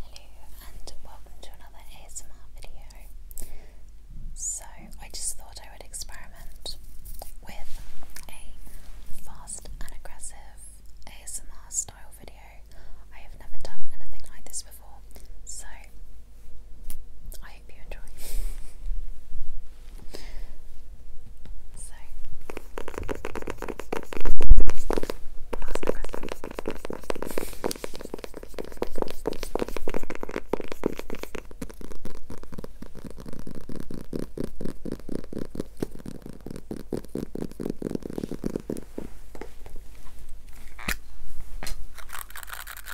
Hello and welcome to another ASMR video. So, I just thought I would experiment with a fast and aggressive ASMR style video. I have never done anything like this before, so I I hope you enjoy. So, pass the